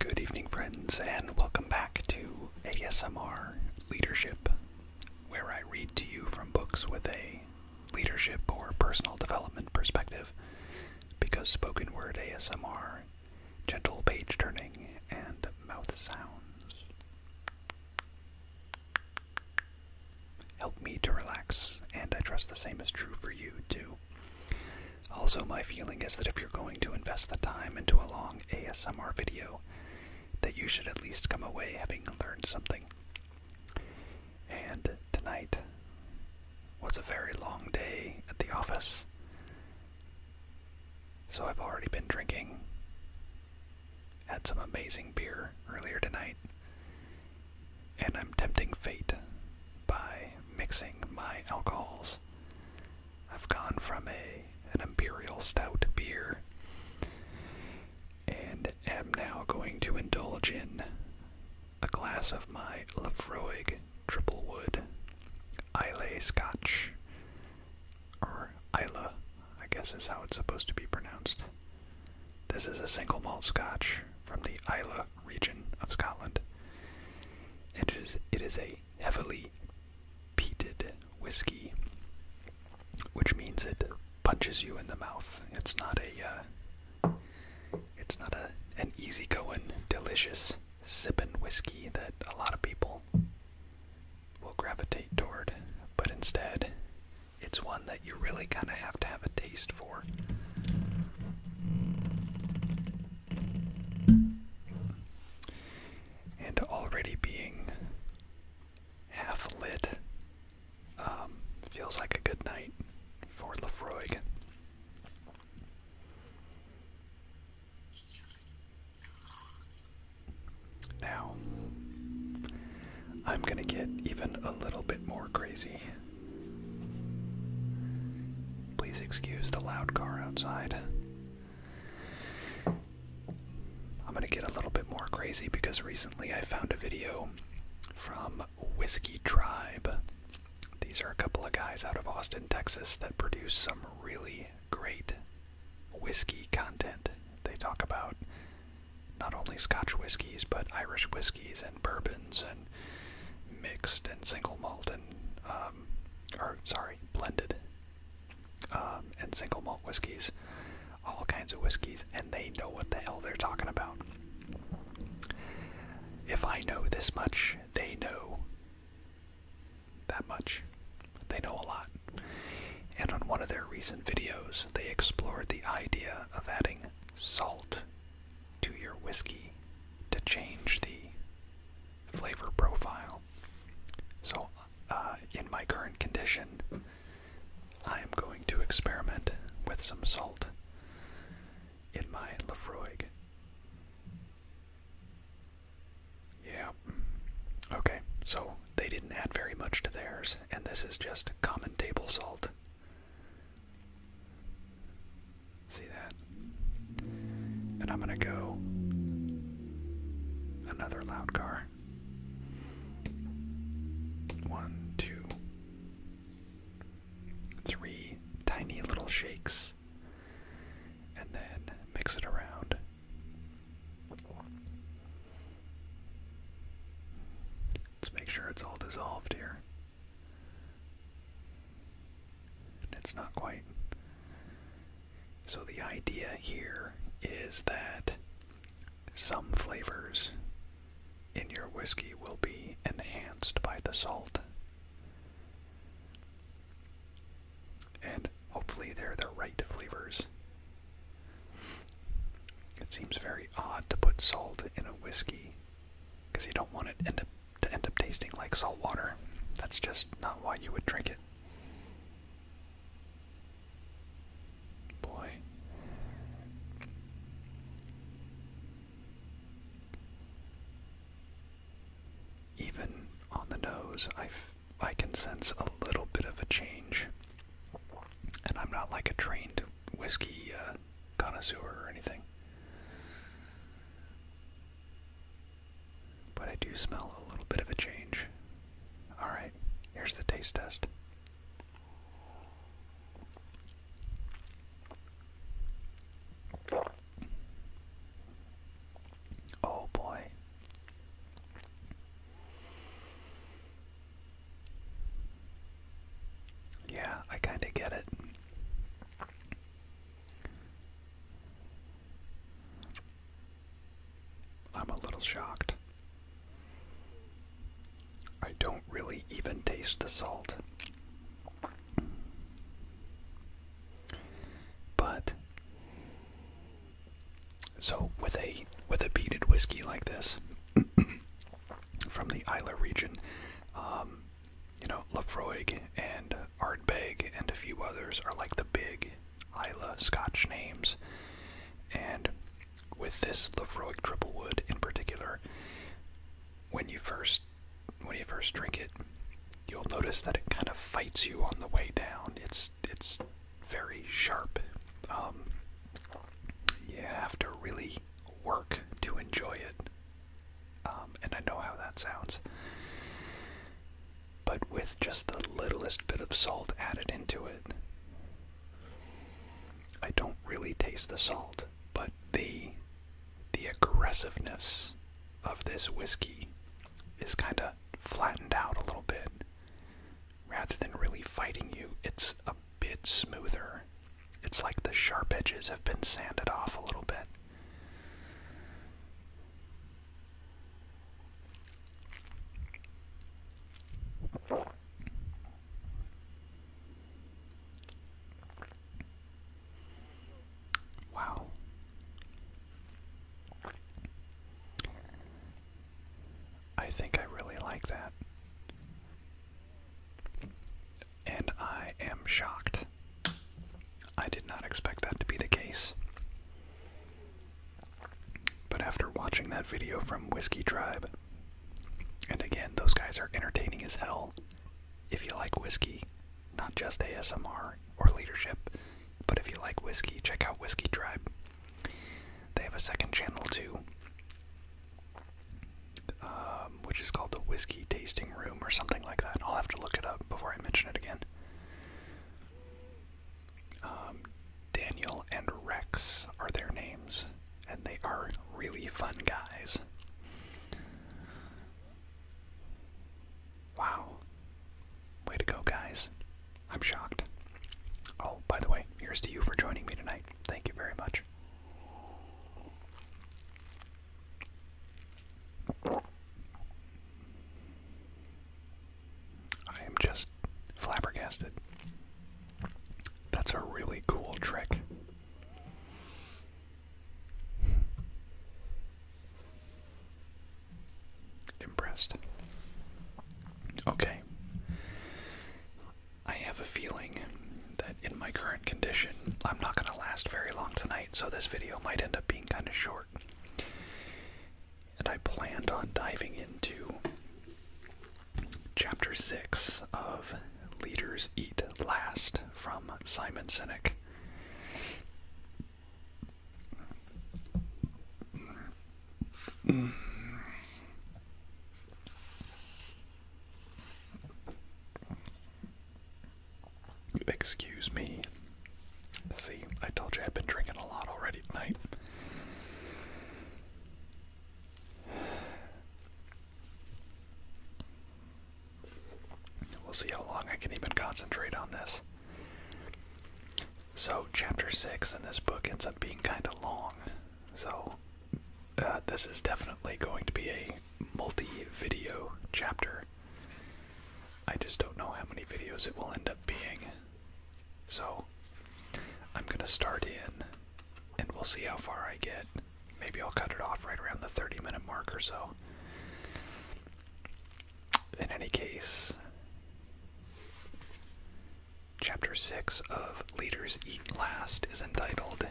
Good evening, friends, and welcome back to ASMR Leadership, where I read to you from books with a leadership or personal development perspective, because spoken word ASMR, gentle page turning, and mouth sounds help me to relax, and I trust the same is true for you, too. Also, my feeling is that if you're going to invest the time into a long ASMR video, that you should at least come away having learned something. And tonight was a very long day at the office. So I've already been drinking. Had some amazing beer earlier tonight. And I'm tempting fate by mixing my alcohols I've gone from a an imperial stout beer and am now going to indulge in a glass of my Lefroig Triple Wood Islay Scotch, or Isla, I guess is how it's supposed to be pronounced. This is a single malt Scotch from the Isla region of Scotland. And it is, it is a heavily peated whiskey, which means it punches you in the mouth. It's not a, uh, it's not a an easygoing, delicious sipping whiskey that a lot of people will gravitate toward, but instead, it's one that you really kind of have to have a taste for. And already being half lit um, feels like a good night for Lefroy. Now, I'm gonna get even a little bit more crazy Please excuse the loud car outside. I'm gonna get a little bit more crazy because recently I found a video from Whiskey Tribe. These are a couple of guys out of Austin, Texas that produce some really great whiskey content. They talk about not only Scotch whiskeys, but Irish whiskeys and bourbons and mixed and single malt and uh, um, or sorry, blended um, and single malt whiskeys, all kinds of whiskeys, and they know what the hell they're talking about. If I know this much, they know that much. They know a lot. And on one of their recent videos, they explored the idea of adding salt to your whiskey to change the flavor profile. So, uh, in my current condition, I am going to experiment with some salt in my Lafroig. Yeah. Okay, so they didn't add very much to theirs, and this is just common table salt. See that? And I'm gonna go another loud car. One, two, three tiny little shakes. And then mix it around. Let's make sure it's all dissolved here. That's not quite. So the idea here is that some flavors in your whiskey will be enhanced by the salt. And hopefully they're the right flavors. It seems very odd to put salt in a whiskey because you don't want it end up to end up tasting like salt water. That's just not why you would drink it. Boy. Even on the nose, I I can sense a little bit of a change. And I'm not like a trained whiskey uh, connoisseur or anything. But I do smell a little bit of a change. Alright, here's the taste test. Oh boy. Yeah, I kind of get it. I'm a little shocked. I don't really even taste the salt. But so with a with a peated whiskey like this from the Isla region, um, you know, Lafroig and Ardbeg and a few others are like the big Isla Scotch names. And with this triple wood in particular, when you first when you first drink it, you'll notice that it kind of fights you on the way down. It's it's very sharp. Um, you have to really work to enjoy it. Um, and I know how that sounds. But with just the littlest bit of salt added into it, I don't really taste the salt, but the the aggressiveness of this whiskey is kind of flattened out a little bit. Rather than really fighting you, it's a bit smoother. It's like the sharp edges have been sanded off a little bit. Wow. I think I really like that. And I am shocked I did not expect that to be the case. But after watching that video from Whiskey Tribe, and again, those guys are entertaining as hell. If you like whiskey, not just ASMR or leadership, but if you like whiskey, check out Whiskey Tribe. They have a second channel too, um, which is called the Whiskey Tasting Room or something like that. I'll have to look it up before I mention it again. Um, Daniel and Rex are their names, and they are really fun guys. Wow. Way to go, guys. I'm shocked. Oh, by the way, here's to you for joining me tonight. Thank you very much. I am just flabbergasted. That's a really cool trick. Impressed. Okay. I have a feeling that in my current condition, I'm not going to last very long tonight, so this video might end up being kind of short. And I planned on diving into chapter 6 of Leaders Eat Last from Simon Sinek. Excuse me. See, I told you I've been drinking a lot already tonight. We'll see how long I can even concentrate on this. So, chapter 6 in this book ends up being kind of long. So, uh, this is definitely going to be a multi video chapter. I just don't know how many videos it will end up being. So, I'm gonna start in and we'll see how far I get. Maybe I'll cut it off right around the 30 minute mark or so. In any case, Chapter 6 of Leaders Eat Last is entitled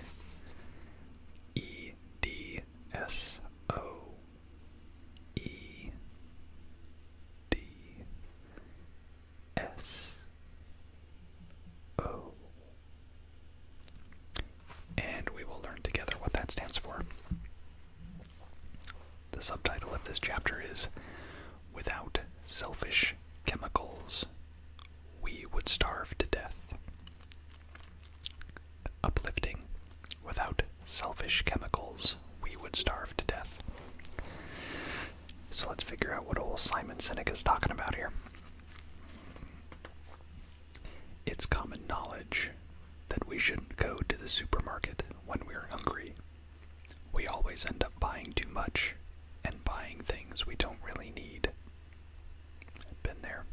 EDSO E D S O. And we will learn together what that stands for. The subtitle of this chapter is Without Selfish Chemicals, We Would Starve to Death uplifting. Without selfish chemicals, we would starve to death. So let's figure out what old Simon Sinek is talking about here. It's common knowledge that we shouldn't go to the supermarket when we're hungry. We always end up buying too much and buying things we don't really need. Been there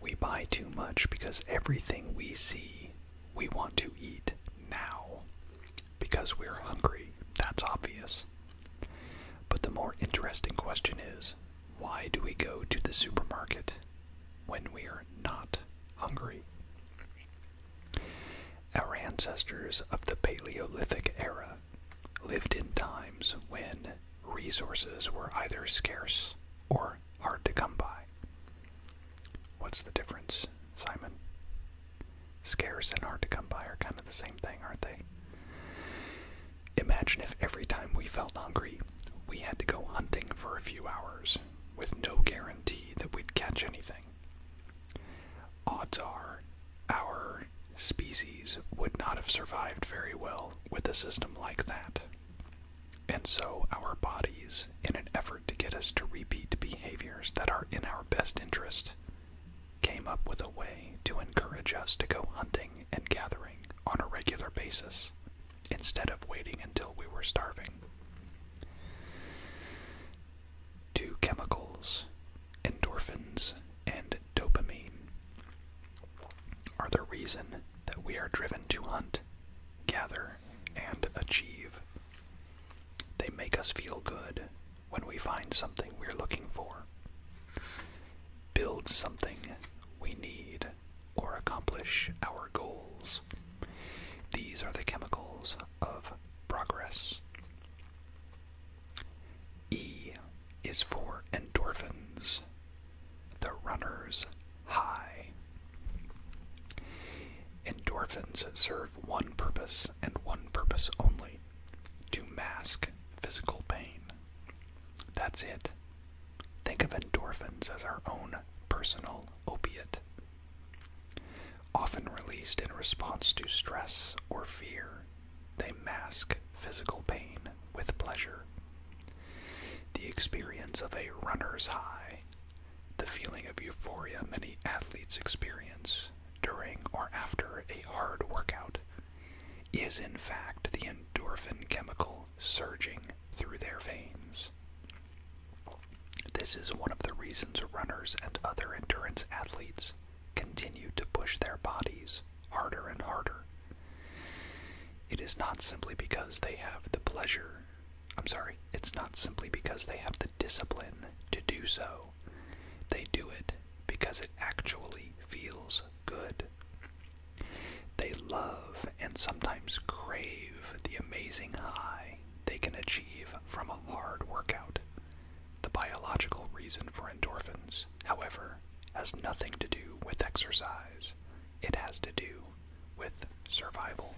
we buy too much because everything we see we want to eat now because we're hungry. That's obvious. But the more interesting question is why do we go to the supermarket when we're not hungry? Our ancestors of the Paleolithic era lived in times when resources were either scarce or hard to come by. What's the difference, Simon? Scarce and hard to come by are kind of the same thing, aren't they? Imagine if every time we felt hungry, we had to go hunting for a few hours with no guarantee that we'd catch anything. Odds are our species would not have survived very well with a system like that and so our bodies in an effort to get us to repeat behaviors that are in our best interest came up with a way to encourage us to go hunting and gathering on a regular basis instead of waiting until we were starving. Two chemicals, endorphins and dopamine, are the reason that we are driven to hunt, gather, and achieve. They make us feel good when we find something we're looking for, build something we need, or accomplish our goals. These are the chemicals of progress. E is for endorphins, the runner's high. Endorphins serve one purpose and one purpose only to mask physical pain. That's it. Think of endorphins as our own personal opiate, often released in response to stress or fear. They mask physical pain with pleasure. The experience of a runner's high, the feeling of euphoria many athletes experience during or after a hard workout, is in fact the endorphin chemical surging through their veins. This is one of the reasons runners and other endurance athletes continue to push their bodies harder and harder it is not simply because they have the pleasure, I'm sorry, it's not simply because they have the discipline to do so. They do it because it actually feels good. They love and sometimes crave the amazing high they can achieve from a hard workout. The biological reason for endorphins, however, has nothing to do with exercise it has to do with survival.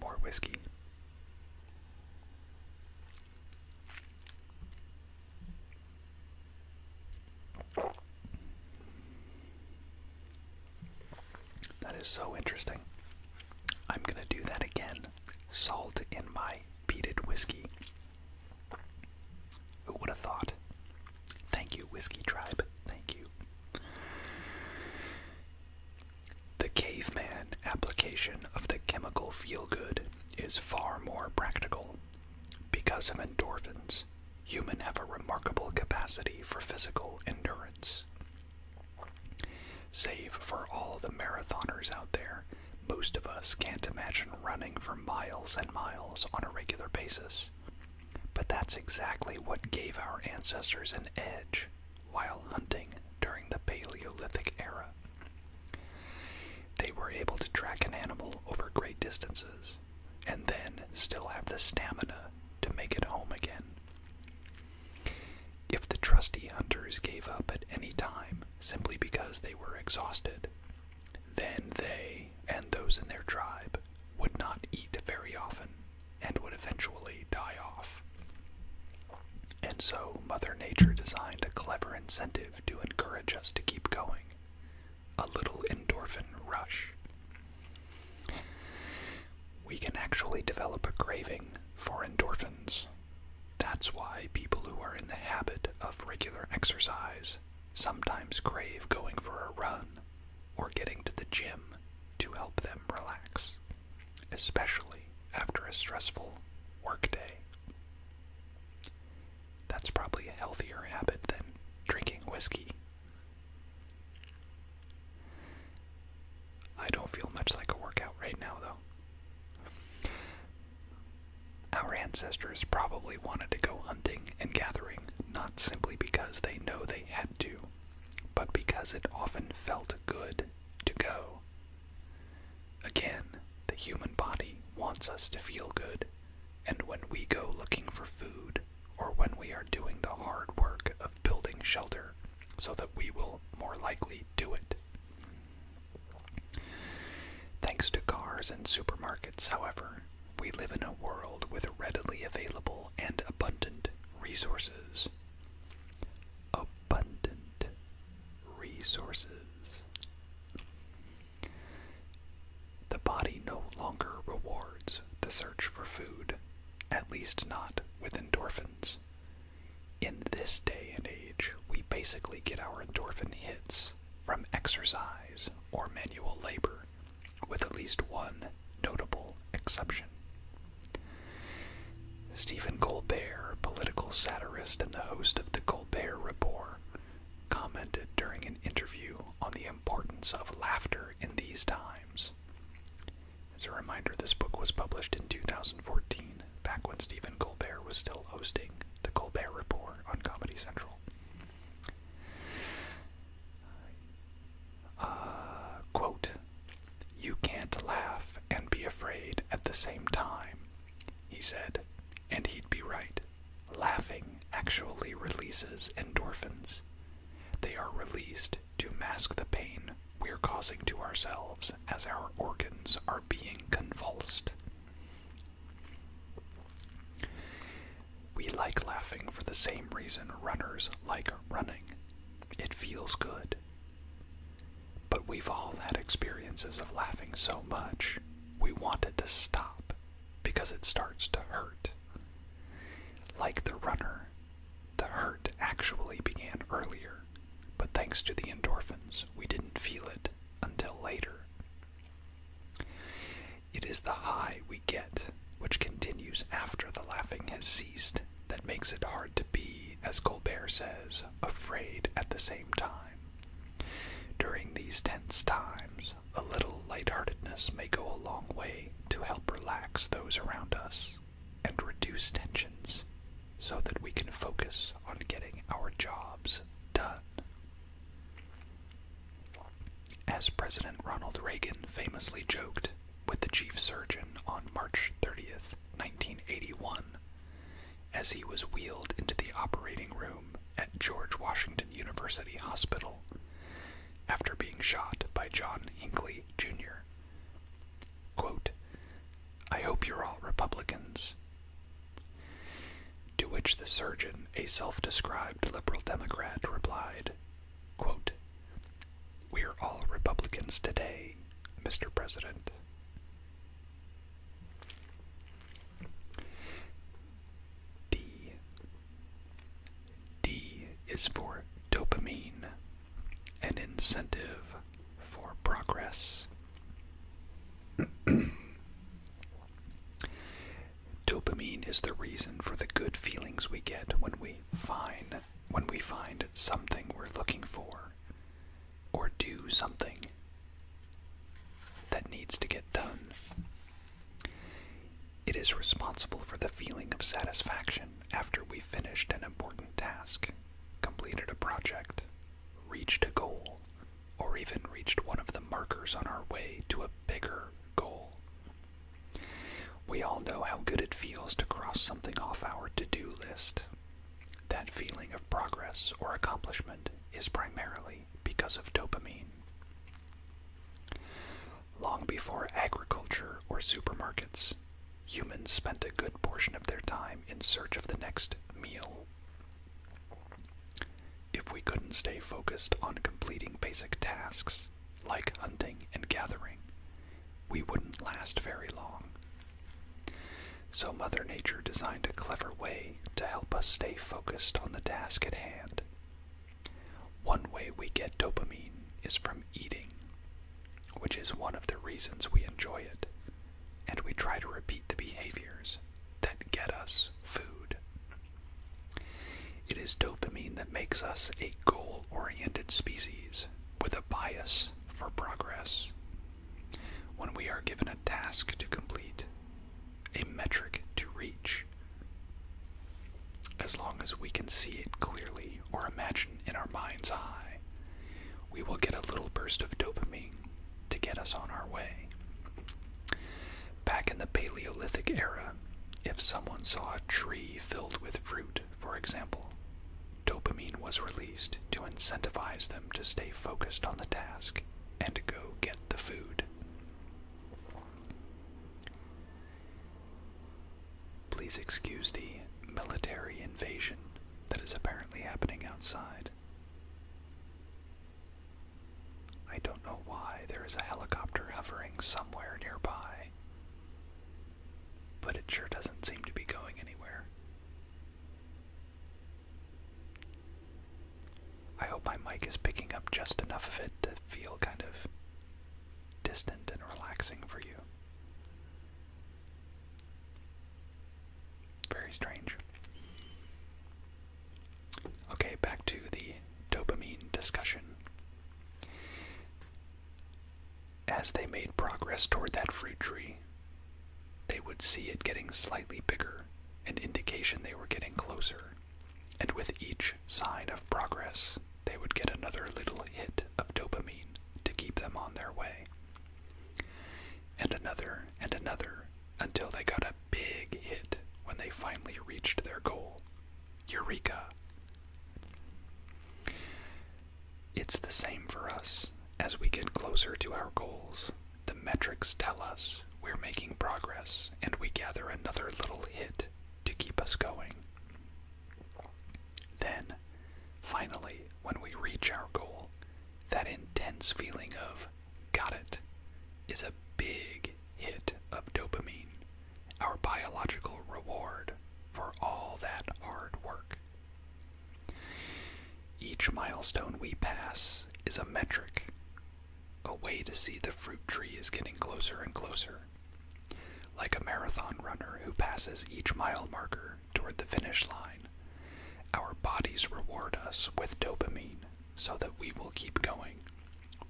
More whiskey. That is so interesting. I'm going to do that again. Salt in my beaded whiskey. Who would have thought? Thank you, Whiskey Tribe. Thank you. The caveman application of the chemical feel good is far more practical. Because of endorphins, humans have a remarkable capacity for physical endurance. Save for all the marathoners out there, most of us can't imagine running for miles and miles on a regular basis. But that's exactly what gave our ancestors an edge while hunting during the Paleolithic era. They were able to track an animal over great distances and then still have the stamina to make it home again. If the trusty hunters gave up at any time simply because they were exhausted, then they, and those in their tribe, would not eat very often and would eventually die off. And so Mother Nature designed a clever incentive to encourage us to keep going a little endorphin rush. We can actually develop a craving for endorphins. That's why people who are in the habit of regular exercise sometimes crave going for a run or getting to the gym to help them relax, especially after a stressful workday. That's probably a healthier habit than drinking whiskey. I don't feel much like a workout right now, though. Our ancestors probably wanted to go hunting and gathering, not simply because they know they had to, but because it often felt good to go. Again, the human body wants us to feel good, and when we go looking for food, or when we are doing the hard work of building shelter, so that we will more likely do it. Thanks to cars and supermarkets, however, we live in a world with readily available and abundant resources. Abundant resources. The body no longer rewards the search for food, at least not with endorphins. In this day and age, we basically get our endorphin hits from exercise or manual labor, with at least one notable exception. Stephen Colbert, political satirist and the host of The Colbert Report, commented during an interview on the importance of laughter in these times. As a reminder, this book was published in 2014, back when Stephen Colbert was still hosting The Colbert Report on Comedy Central. Uh, you can't laugh and be afraid at the same time, he said, and he'd be right. Laughing actually releases endorphins. They are released to mask the pain we're causing to ourselves as our organs are being convulsed. We like laughing for the same reason runners like running. It feels good. But we've all had experiences of laughing so much, we want it to stop because it starts to hurt. Like the runner, the hurt actually began earlier, but thanks to the endorphins, we didn't feel it until later. It is the high we get, which continues after the laughing has ceased, that makes it hard to be, as Colbert says, afraid at the same time. During these tense times, a little light-heartedness may go a long way to help relax those around us and reduce tensions so that we can focus on getting our jobs done. As President Ronald Reagan famously joked with the chief surgeon on March 30th, 1981, as he was wheeled into the operating room at George Washington University Hospital after being shot by John Hinckley, Jr. I hope you're all Republicans. To which the surgeon, a self described liberal Democrat, replied, quote, We're all Republicans today, Mr. President. D. D is for dopamine, an incentive for progress. Dopamine is the reason for the good feelings we get when we find when we find something we're looking for or do something that needs to get done. It is responsible for the feeling of satisfaction after we finished an important task, completed a project, reached a goal, or even reached one of the markers on our way to a bigger goal. We all know how good it feels to cross something off our to do list. That feeling of progress or accomplishment is primarily because of dopamine. Long before agriculture or supermarkets, humans spent a good portion of their time in search of the next meal. If we couldn't stay focused on completing basic tasks, like hunting and gathering, we wouldn't last very long. So, Mother Nature designed a clever way to help us stay focused on the task at hand. One way we get dopamine is from eating, which is one of the reasons we enjoy it, and we try to repeat the behaviors that get us food. It is dopamine that makes us a goal oriented species with a bias for progress. When we are given a task to complete, a metric to reach, as long as we can see it clearly or imagine in our mind's eye, we will get a little burst of dopamine to get us on our way. Back in the Paleolithic era, if someone saw a tree filled with fruit, for example, dopamine was released to incentivize them to stay focused on the task and go get the food. Please excuse the military invasion that is apparently happening outside. I don't know why there is a helicopter hovering somewhere nearby, but it sure doesn't seem to be going anywhere. I hope my mic is picking up just enough of it to feel kind of distant and relaxing for you. Very strange. Okay, back to the dopamine discussion. As they made progress toward that fruit tree, they would see it getting slightly bigger, an indication they were getting closer. And with each sign of progress, they would get another little hit of dopamine to keep them on their way. And another, and another, until they got a big hit when they finally reached their goal Eureka! It's the same for us. As we get closer to our goals, the metrics tell us we're making progress and we gather another little hit to keep us going. Then, finally, when we reach our goal, that intense feeling of got it is a big hit of dopamine, our biological reward for all that hard work. Each milestone we pass is a metric, a way to see the fruit tree is getting closer and closer, like a marathon runner who passes each mile marker toward the finish line. Our bodies reward us with dopamine so that we will keep going,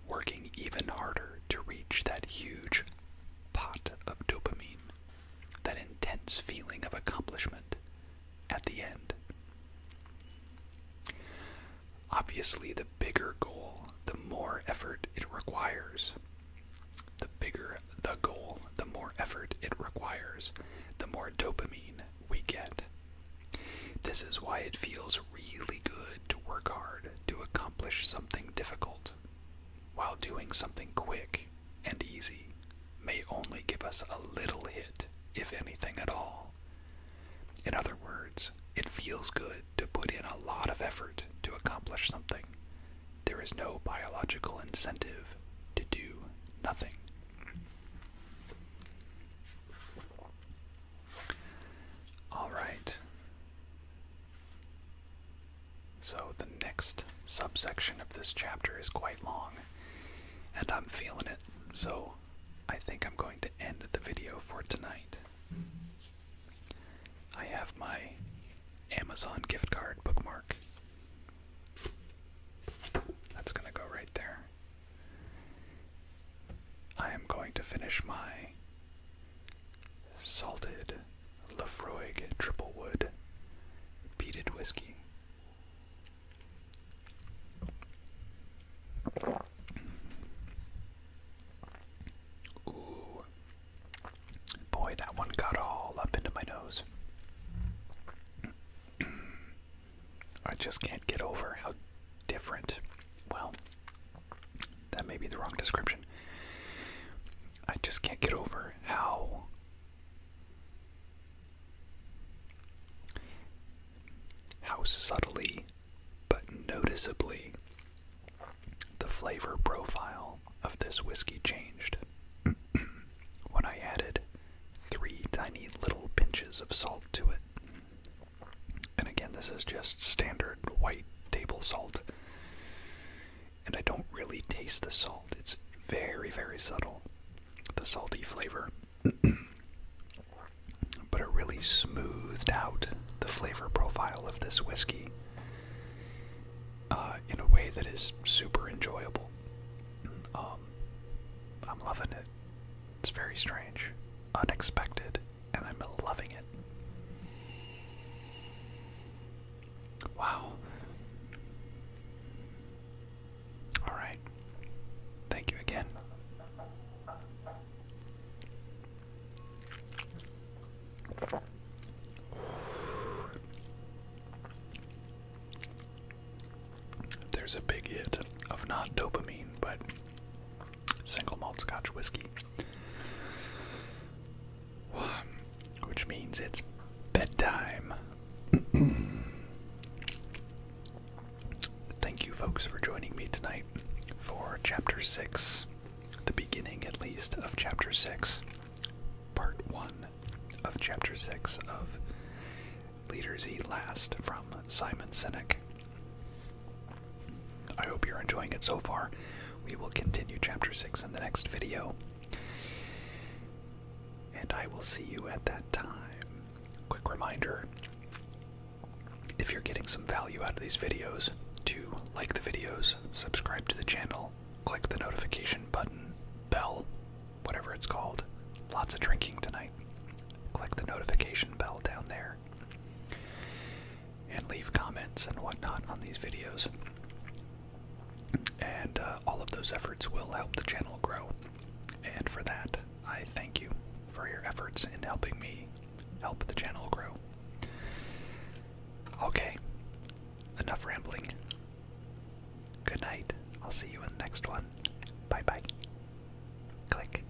working even harder to reach that huge pot of dopamine, that intense feeling of accomplishment at the end. Obviously, the bigger goal, the more effort it requires. The bigger the goal, the more effort it requires, the more dopamine we get. This is why it feels really good to work hard to accomplish something difficult, while doing something quick and easy may only give us a little hit, if anything at all. In other words, it feels good to put in a lot of effort to accomplish something. There is no biological incentive to do nothing. All right. So the next subsection of this chapter is quite long, and I'm feeling it, so I think I'm going to end the video for tonight. I have my Amazon gift card bookmark. That's going to go right there. I am going to finish my salted Lafroig triple wood peated whiskey. Ooh. Boy, that one got all up into my nose. I just can't get over how different, well, that may be the wrong description. I just can't get over how how subtly but noticeably the flavor profile of this whiskey changed when I added three tiny little pinches of salt to it. And again, this is just standard white table salt. And I don't really taste the salt. It's very, very subtle, the salty flavor. but it really smoothed out the flavor profile of this whiskey uh, in a way that is super enjoyable. Um, I'm loving it. It's very strange, unexpected, and I'm loving it. Wow. All right. Thank you again. There's a big hit of not dopamine, but single malt Scotch whiskey, which means it's bedtime. Thank you, folks, for joining me tonight for Chapter 6, the beginning at least of Chapter 6, Part 1 of Chapter 6 of Leaders Eat Last from Simon Sinek. I hope you're enjoying it so far. We will continue chapter 6 in the next video. And I will see you at that time. Quick reminder if you're getting some value out of these videos, to like the videos, subscribe to the channel, click the notification button, bell, whatever it's called. Lots of drinking tonight. Click the notification bell down there and leave comments and whatnot on these videos. And uh, all of those efforts will help the channel grow. And for that, I thank you for your efforts in helping me help the channel grow. Okay, enough rambling. Good night. I'll see you in the next one. Bye bye. Click.